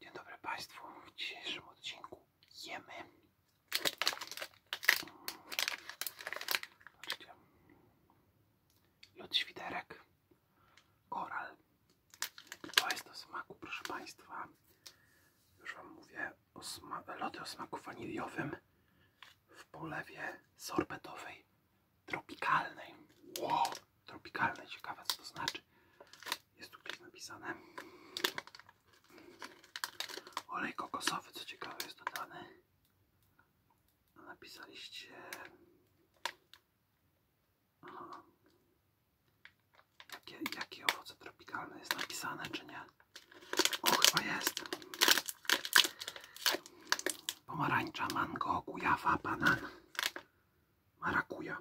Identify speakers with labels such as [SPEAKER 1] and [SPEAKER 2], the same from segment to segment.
[SPEAKER 1] Dzień dobry Państwu. W dzisiejszym odcinku jemy. Zobaczcie. Lód świderek. Koral. To jest do smaku, proszę Państwa. Już Wam mówię o lody o smaku waniliowym w polewie sorbetowej tropikalnej. Wow tropikalne, ciekawe co to znaczy. Jest tu gdzieś napisane. Olej kokosowy, co ciekawe jest dodany. Napisaliście... Aha. Jakie, jakie owoce tropikalne jest napisane, czy nie? O, chyba jest. Pomarańcza, mango, gujawa, banan marakuja.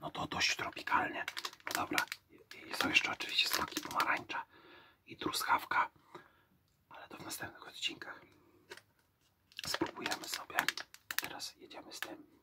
[SPEAKER 1] No to dość tropikalnie. No dobra, I są jeszcze oczywiście smaki pomarańcza i truskawka, ale to w następnych odcinkach. Spróbujemy sobie. Teraz jedziemy z tym.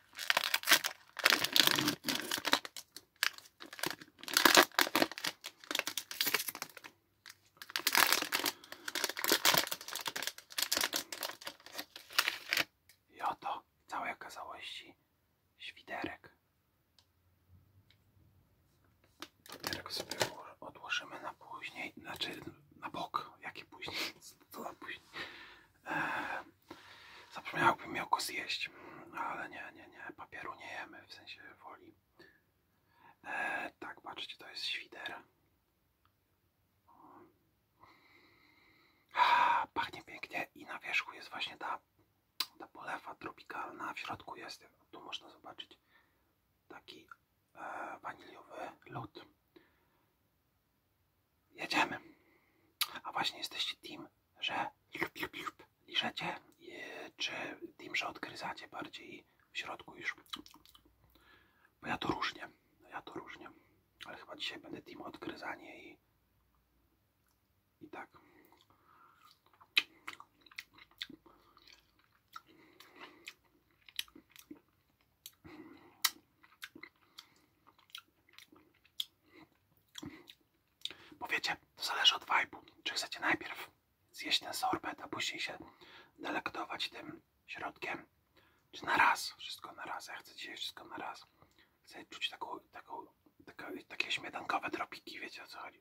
[SPEAKER 1] I oto w całej okazałości świderek. sobie odłożymy na później, znaczy na bok, jaki później to na później. Eee, zapomniałbym miał zjeść, ale nie, nie, nie, papieru nie jemy, w sensie woli. Eee, tak, patrzcie, to jest świder. Pachnie pięknie i na wierzchu jest właśnie ta, ta polewa tropikalna, w środku jest, tu można zobaczyć taki e, waniliowy lód jedziemy. A właśnie jesteście team, że liżecie, czy team, że odgryzacie bardziej w środku już. Bo ja to różnie, ja to różnie. Ale chyba dzisiaj będę team odgryzanie i, i tak. Bo to zależy od vibe'u. Czy chcecie najpierw zjeść ten sorbet, a później się delektować tym środkiem, czy na raz, wszystko na raz. Ja chcę dzisiaj wszystko na raz. Chcę czuć taką, taką, takie śmietankowe drobki? wiecie o co chodzi.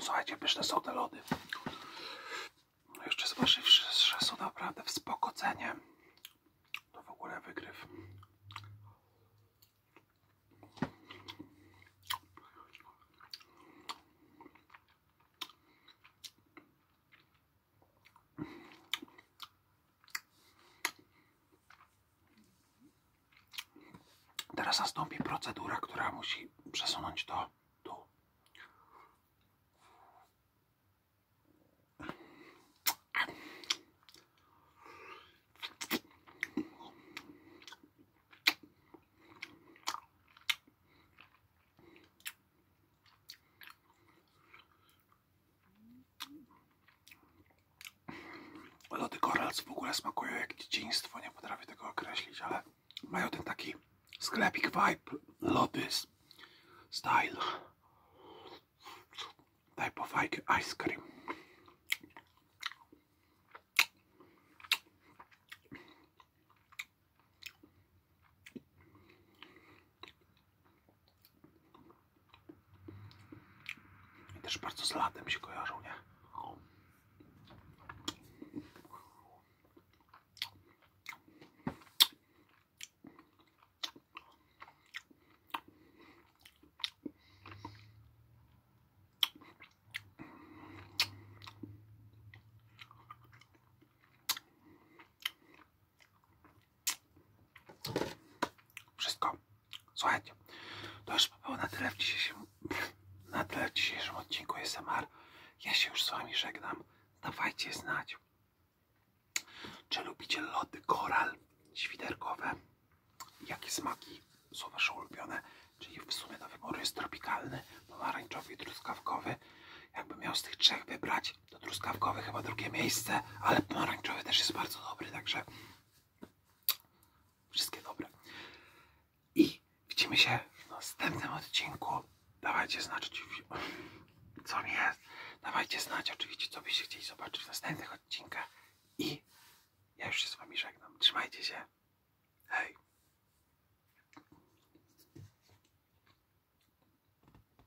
[SPEAKER 1] Słuchajcie, pyszne są te lody. Jeszcze zważywszy, są naprawdę w to w ogóle wygryw. Teraz nastąpi procedura, która musi przesunąć to tu. Lody Korals w ogóle smakują jak dzieciństwo, nie potrafię tego określić, ale mają ten taki sklepik vibe, lody style. Daj po fajkę ice cream. I też bardzo z latem się kojarzą, nie? Wszystko. Słuchajcie, to już było na tyle w dzisiejszym, na tyle w odcinku SMR. Ja się już z Wami żegnam. Dawajcie znać, czy lubicie lody koral świderkowe, jakie smaki są Wasze ulubione, czyli w sumie do wyboru jest tropikalny, pomarańczowy i truskawkowy. Jakbym miał z tych trzech wybrać, do truskawkowy chyba drugie miejsce, ale pomarańczowy też jest bardzo dobry, także wszystkie dobre. I widzimy się w następnym odcinku. Dawajcie znać co mi jest. Dawajcie znać oczywiście, co byście chcieli zobaczyć w następnych odcinkach. I ja już się z wami żegnam. Trzymajcie się. Hej.